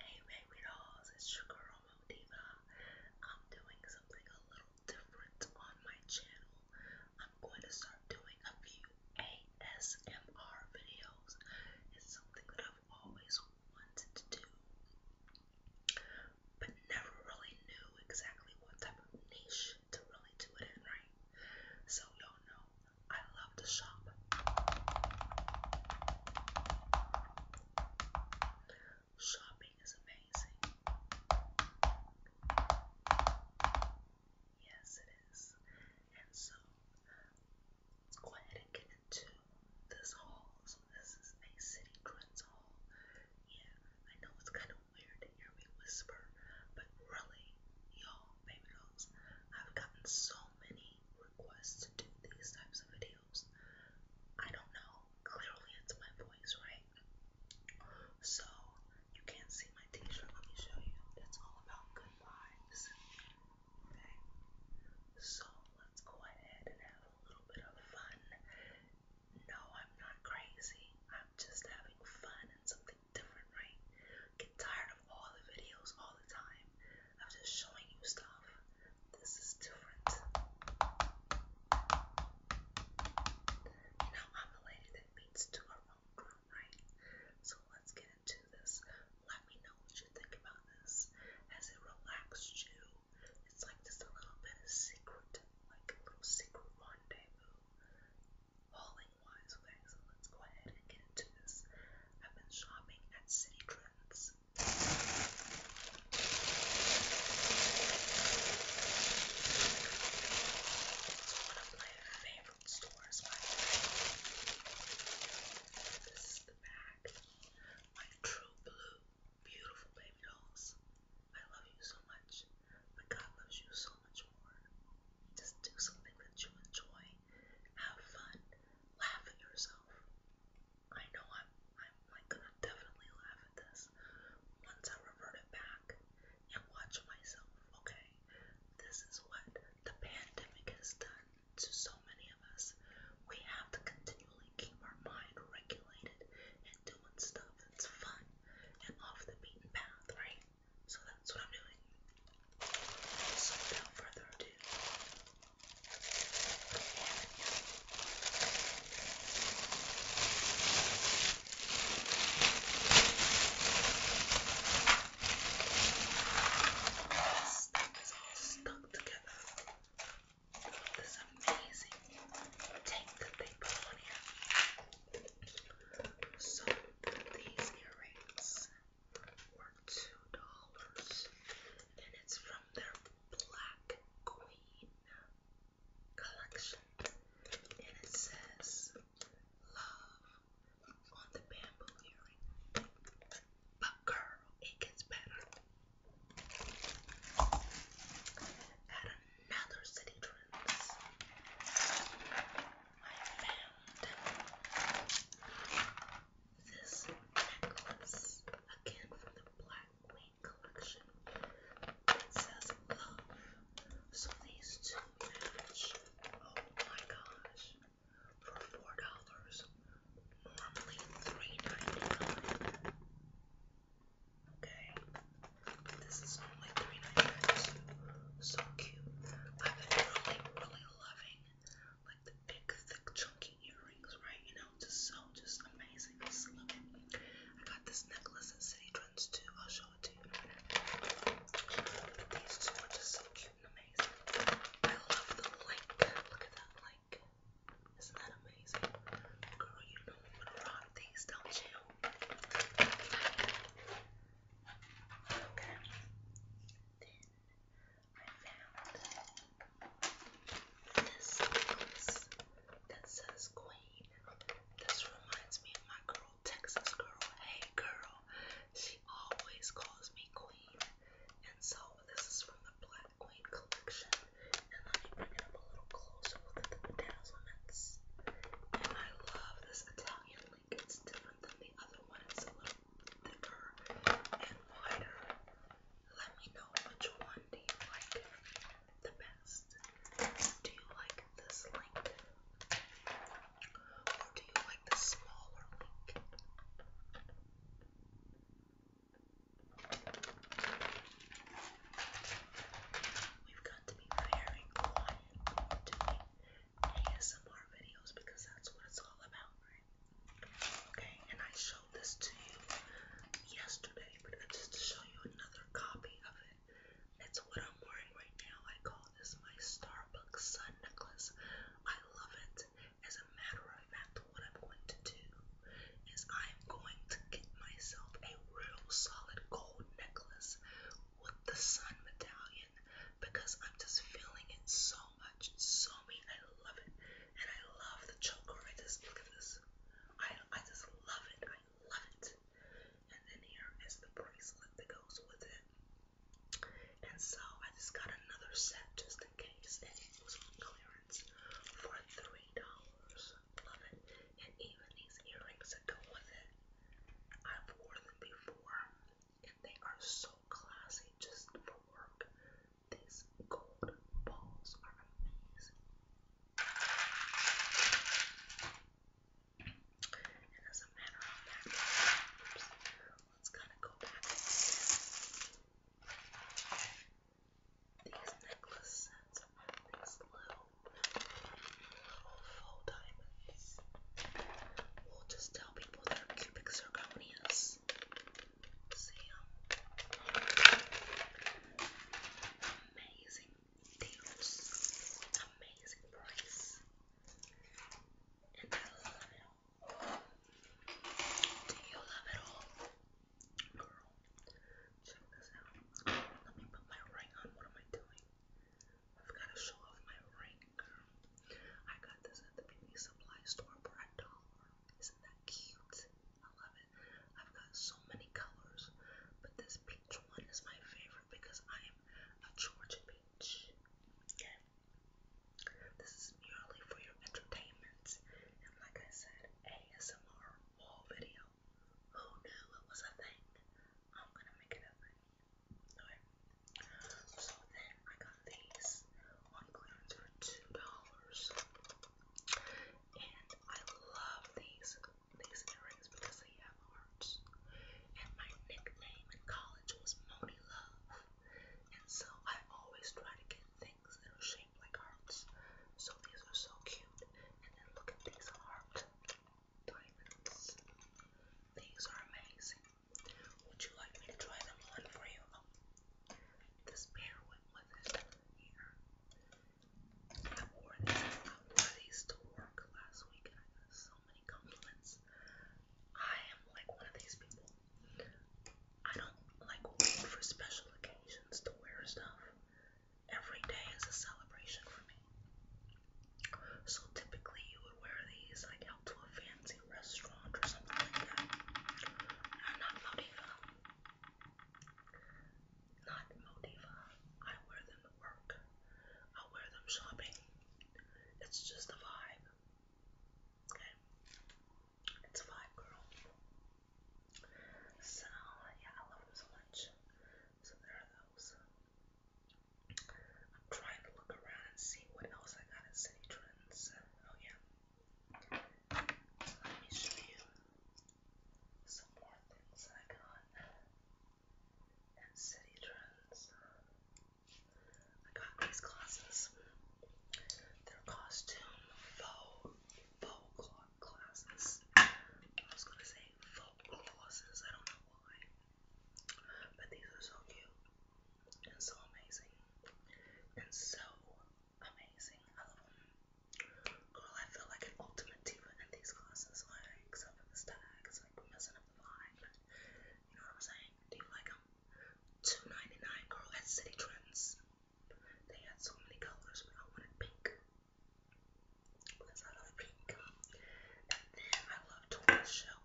Hey Ross, it's your girl Mo Diva. I'm doing something a little different on my channel. I'm going to start doing a few ASMR videos. It's something that I've always wanted to do, but never really knew exactly what type of niche to really do it in, right? So y'all know I love love the shop. Shopping is amazing. Yes, it is. And so, let's go ahead and get into this haul. So, this is a City Trends haul. Yeah, I know it's kind of weird to hear me whisper, but really, y'all, baby girls, I've gotten so many many requests to do these types of videos. I don't know. Clearly, it's my voice, right? So, you can't see my t shirt. Let me show you. It's all about good vibes. Okay? So, let's go ahead and have a little bit of fun. No, I'm not crazy. I'm just having fun and something different, right? Get tired of all the videos all the time i just showing you stuff. This is different. You know, I'm the lady that beats to her own drum, right? So let's get into this. Let me know what you think about this. Has it relaxed you? It's like just a little bit of secret, like a little secret rendezvous. Hauling wise, okay, so let's go ahead and get into this. I've been shopping at City Trends it's one of my favorite stores, This is the bag. My true blue, beautiful baby dolls. I love you so much, but God loves you so much more. Just do something that you enjoy. Have fun. Laugh at yourself myself. I know I'm, I'm like gonna definitely laugh at this once I revert it back and watch myself, okay? This is what the pandemic has done to so many of us. We have to continually keep our mind regulated and doing stuff that's fun and off the beaten path, right? So that's what I'm doing. So without further ado, this is all stuck together. This amazing tape that they put on here. So these earrings or two dollars, and it's from their Black Queen collection, and it says "Love on the bamboo earring." But girl, it gets better. At another city trends, I found this necklace again from the Black Queen collection that says love. So these two match. Oh my gosh. For four dollars. Normally three ninety-nine. Okay. This is only three ninety-nine. So cute. I've been really, really loving like the big, thick, chunky earrings, right? You know, just so, just amazing. I got this necklace at City Trends too. I'll show it to you But these two are just so cute and amazing. I love the link. Look at that link. Isn't that amazing? Girl, you know gonna rock these, don't you? Okay found this necklace that says Queen. This reminds me of my girl, Texas girl. Hey girl, she always calls me Queen. And so this is from the Black Queen collection. And let me bring it up a little closer with the bedazzlements. And I love this Italian link. It's different than the other one. It's a little deeper and wider. Let me know which one do you like the best. Do you like this link? Or do you like the smaller link? We've got to be very quiet doing ASMR videos because that's what it's all about, right? Okay, and I showed this to you yesterday, but just to show you another copy of it. It's what I'm wearing right now. I call this my Starbucks sun necklace. I love it. As a matter of fact, what I'm going to do is I'm going to get myself a real solid gold necklace with the sun medallion because I'm just feeling it so much. It's so mean. I love it. And I love the choker. I just look at this. I I just love it. I love it. And then here is the bracelet that goes with it. And so I just got another set just in case. And it was on clearance for three dollars. Love it. And even these earrings that go with it. I've worn them before. And they are so classy just for work. These gold balls are amazing. And as a matter of fact, oops, let's kind of go back. These necklace sets are these little, little full diamonds. We'll just tell people they're cubic zirconias is Sam. Amazing deals, amazing price, and I love it all. Do you love it all? Girl, check this out. Let me put my ring on. What am I doing? I've got to show off my ring, girl. I got this at the beauty supply store for a dollar. Isn't that cute? I love it. I've got so many colors, but this peach one is my favorite because I am a Georgia peach. Okay. This is purely for your entertainment. And like I said, ASMR wall video. Who knew it was a thing? I'm gonna make it a thing. Okay. So then I got these on clearance for two dollars, and I love these these earrings because they have hearts. And my nickname in college was Moni Love, and so I always try to get things that are shaped like hearts. So these are so cute, and then look at these heart diamonds. These are amazing. Would you like me to try them on for you? Oh. This pair went with it here. I wore these. I wore these to work last week, and I got so many compliments. I am like one of these people. I don't like wait for special occasions to wear stuff. Every day is a celebration for me. So typically, you would wear these like out to a fancy restaurant or something like that. I'm not Motiva. Not Motiva. I wear them at work. I wear them shopping. It's just a vibe. Okay? It's a vibe, girl. So, yeah, I love them so much. So, there are those. I'm trying to look around and see what else I got in City Trends. Oh, yeah. Let me show you some more things I got at City Trends. I got these glasses. They're costume faux faux cloth glasses. I was gonna say faux glosses. I don't know why, but these are so cute and so amazing and so amazing. I love them. Girl, I feel like an ultimate diva in these classes, like, except for the stag, it's like messing up the vibe. But you know what I'm saying? Do you like them? Two ninety nine, girl, at City Trends. They had so many colors, but I wanted pink because I love pink. And then I love Tortoise Shell.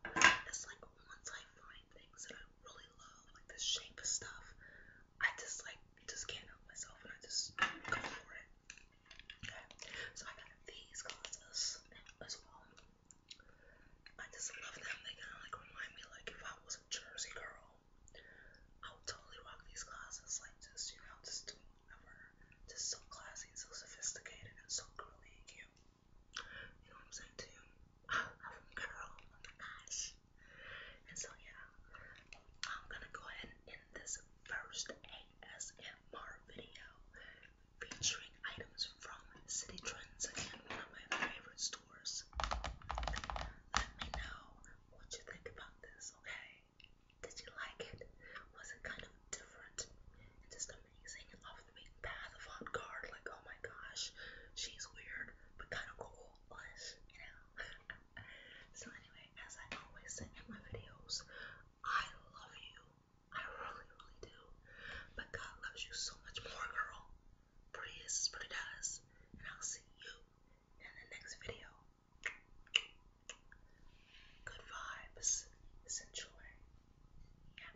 It's like once I find things that I really really love like the shape of stuff. I just like just can't help myself and I just go for it. Okay. So I got these glasses as well. I just love them. They kinda like remind me like if I was a Jersey girl, I would totally rock these glasses, like just, you know, just doing whatever. Just so classy, so sophisticated and so girly and cute. You know what I'm saying to you? I'm a girl, oh my gosh. And so yeah, I'm gonna go ahead and end this first ASMR video featuring items from City Trends again, one of my favorite stores. Let me know what you think about this, okay? Did you like it? Was it kind of different just amazing off the beaten path of avant Like, oh my gosh, she's weird but kind of cool was, you know. so anyway, as I always say in my videos, I love you. I really, really do. But God loves you so much more, girl. Pretty is pretty does. And I'll see you in the next video. Good vibes. Enjoy. Yeah.